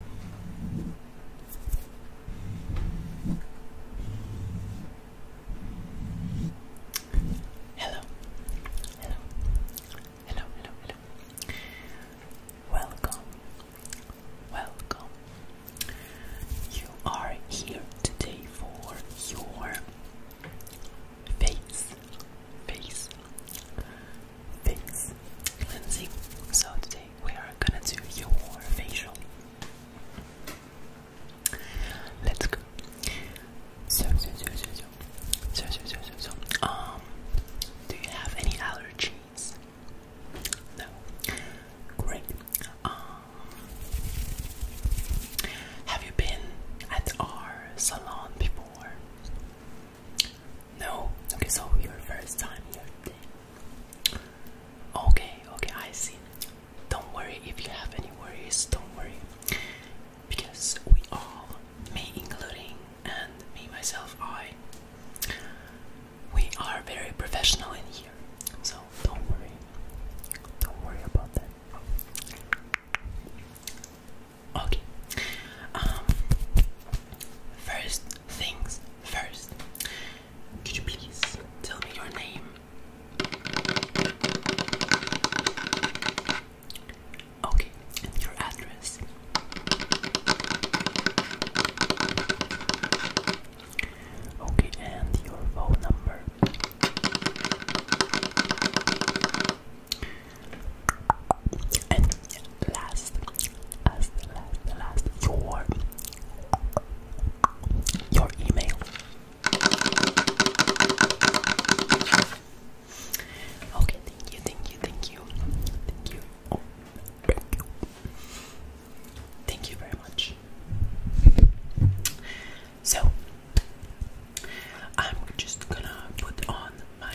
Hello, hello, hello, hello, Welcome, welcome. You are here today for your face, face, face cleansing. So today we are gonna do your facial. Let's go. So, so, so, so, so, so, so, so, so, Um, do you have any allergies? No. Great. Um, have you been at our salon before? No. Okay, so your first time here. Okay, okay, I see. Don't worry if you have any worries, don't worry. Because we all, me including, and me myself, I, we are very professional in here. So don't worry. Don't worry about that. Okay. Um, first, things first. Could you please tell me your name? Okay, and your address. Okay, and your phone number. And last, last, last, your your email. Okay, thank you, thank you, thank you, thank you. thank you. Thank you very much. So, I'm just gonna put on my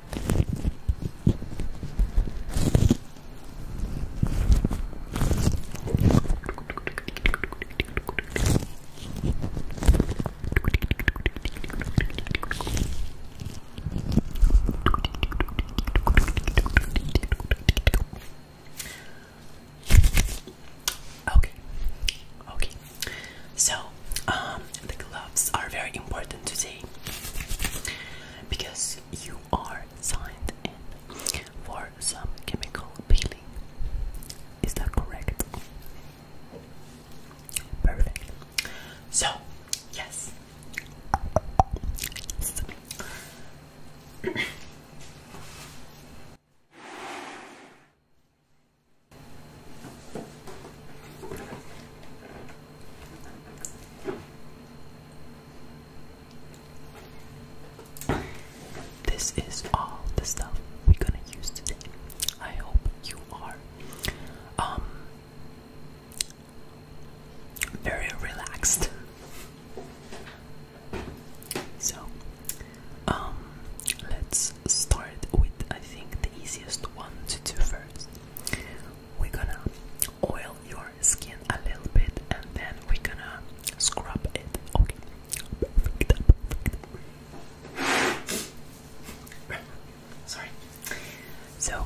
Okay. Okay. So, um the gloves are very important today because you are signed in for some chemical peeling. Is that correct? Perfect. So, yes. This is all the stuff we're gonna use today. I hope you are um very relaxed. So um let's start with I think the easiest one to do first we're gonna oil your skin a little bit and then we're gonna scrub it. Okay. Sorry. So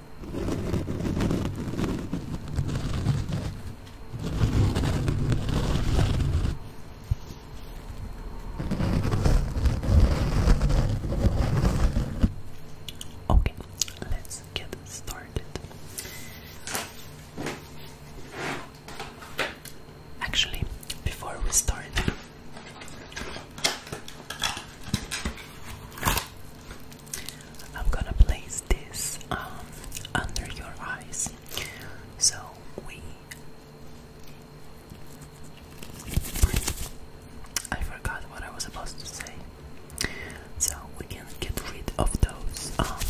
Okay, let's get started. Actually, before we start, I'm gonna place this um, under your eyes. So we. I forgot what I was supposed to say. So we can get rid of those um,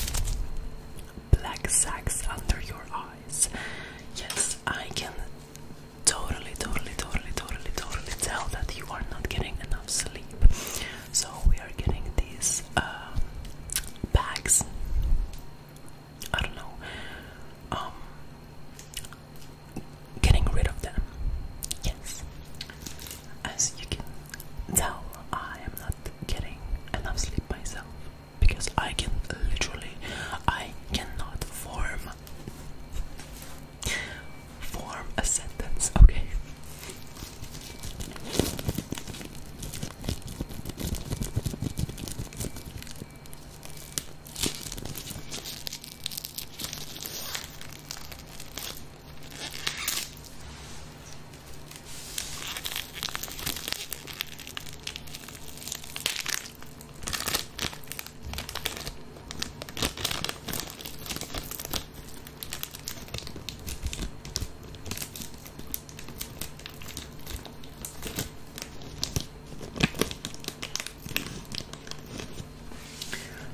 black sacks under your eyes. Yes, I can totally, totally, totally, totally, totally tell that you are not getting enough sleep. So we are getting these um, bags. I don't know. Um, getting rid of them. Yes. As you can tell, I am not getting enough sleep myself because I can literally, I cannot form form a sentence, okay?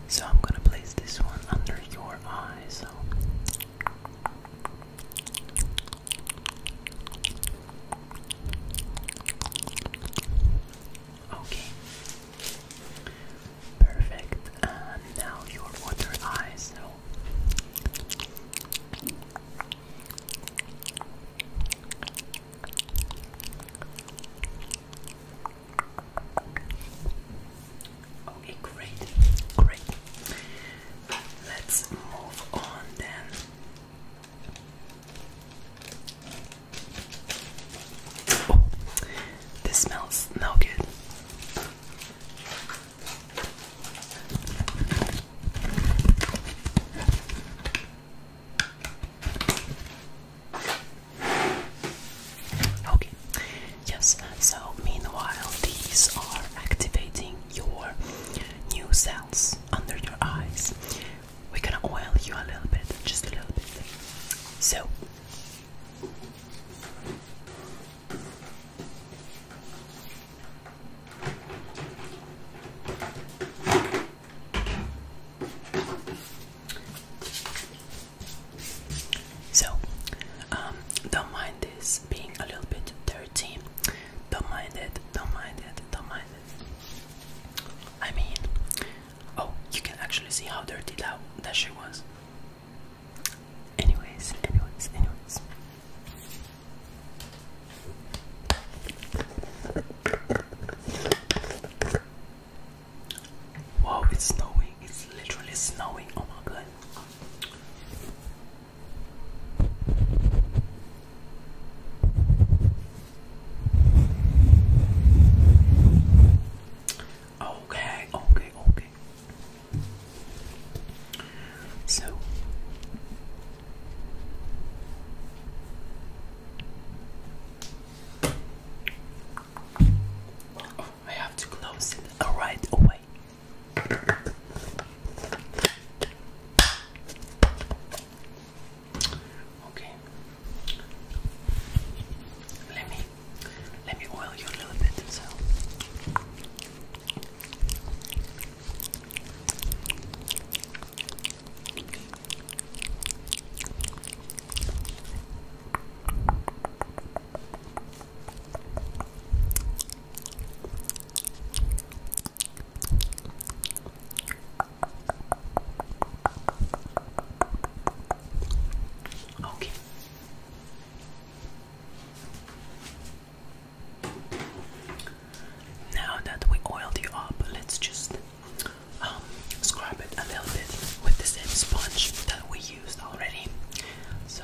So I'm going to place this one under your eye. Okay. Perfect. And um, now your water eye. Okay, great, great. Let's move on then. Oh, this smells no good. Okay, yes, so meanwhile, these are activating your new cells under your eyes. We're gonna oil you a little bit, just a little bit. So, so, um, don't mind this being a little bit dirty. Don't mind it, don't mind it, don't mind it. I mean, oh, you can actually see how dirty that, that she was. Anyways, anyways, anyways. Wow, it's snowing. It's literally snowing. Oh my god. Okay, okay, okay. So oh, I have to close it right away. Okay. Let me let me oil you a little bit so Okay. Now that we oiled you up, let's just um, scrub it a little bit with the same sponge that we used already. So.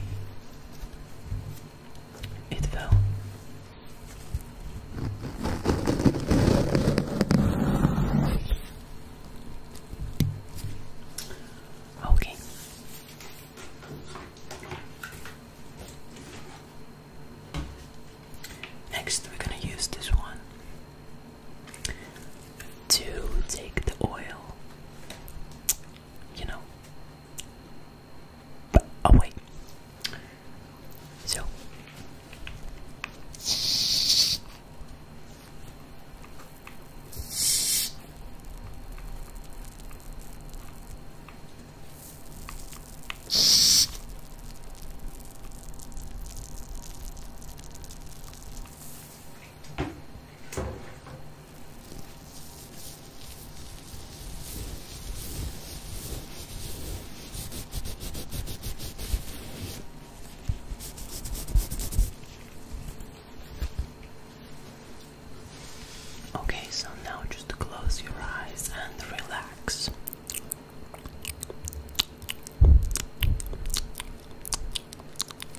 It fell. Okay. Next, we're going to use this one to take the oil, you know. But, oh, wait. So. Okay, so now just close your eyes and relax.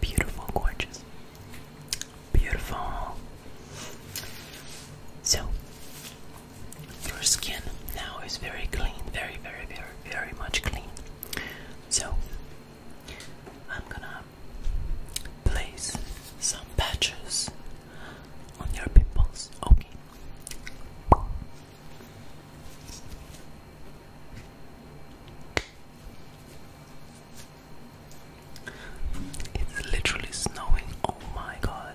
Beautiful, gorgeous. Beautiful. So, your skin now is very clean, very, very, very, very much clean. So, I'm gonna place some patches on your pimples, okay? Okay. It's literally snowing. Oh my god.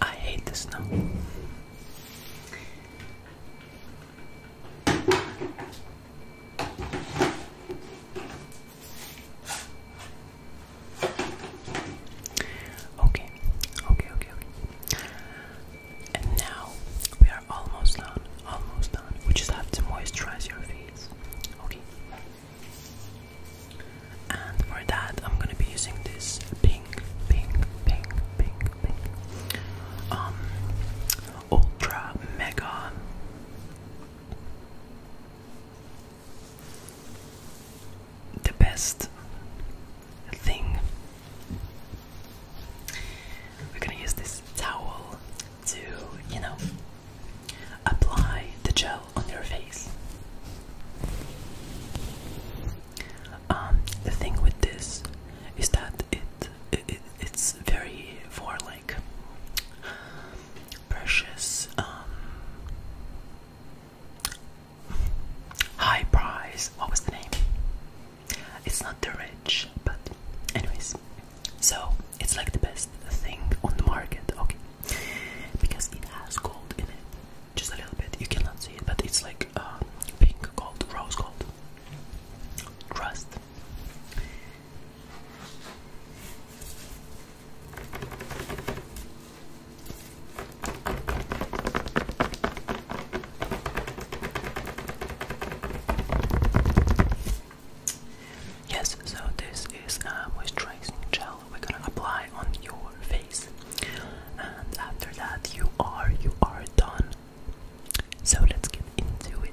I hate the snow. Okay, okay, okay, okay. And now we are almost done, almost done. We just have to moisturize your face. Okay. And for that, I'm gonna be using this pink, pink, pink, pink, pink. Um, ultra mega. The best thing. We're gonna use this towel to, you know, apply the gel on your face. Um, the thing with this is that it, it, it's very for like precious, um, high price. What was the name? It's not the rich, but anyways. So it's like the best thing on the market, okay? Because it has gold in it just a little bit. You cannot see it, but it's like uh, pink gold, rose gold. Trust. Yes, so this is a moisturizing gel we're gonna apply on your face and after that you are you are done so let's get into it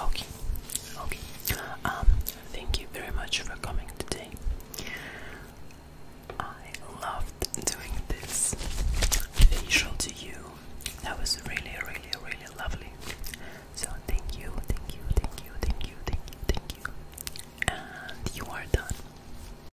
Okay, okay. Um, thank you very much for coming today. I loved doing this facial to you. That was really, really, really lovely. So thank you, thank you, thank you, thank you, thank you, thank you. And you are done.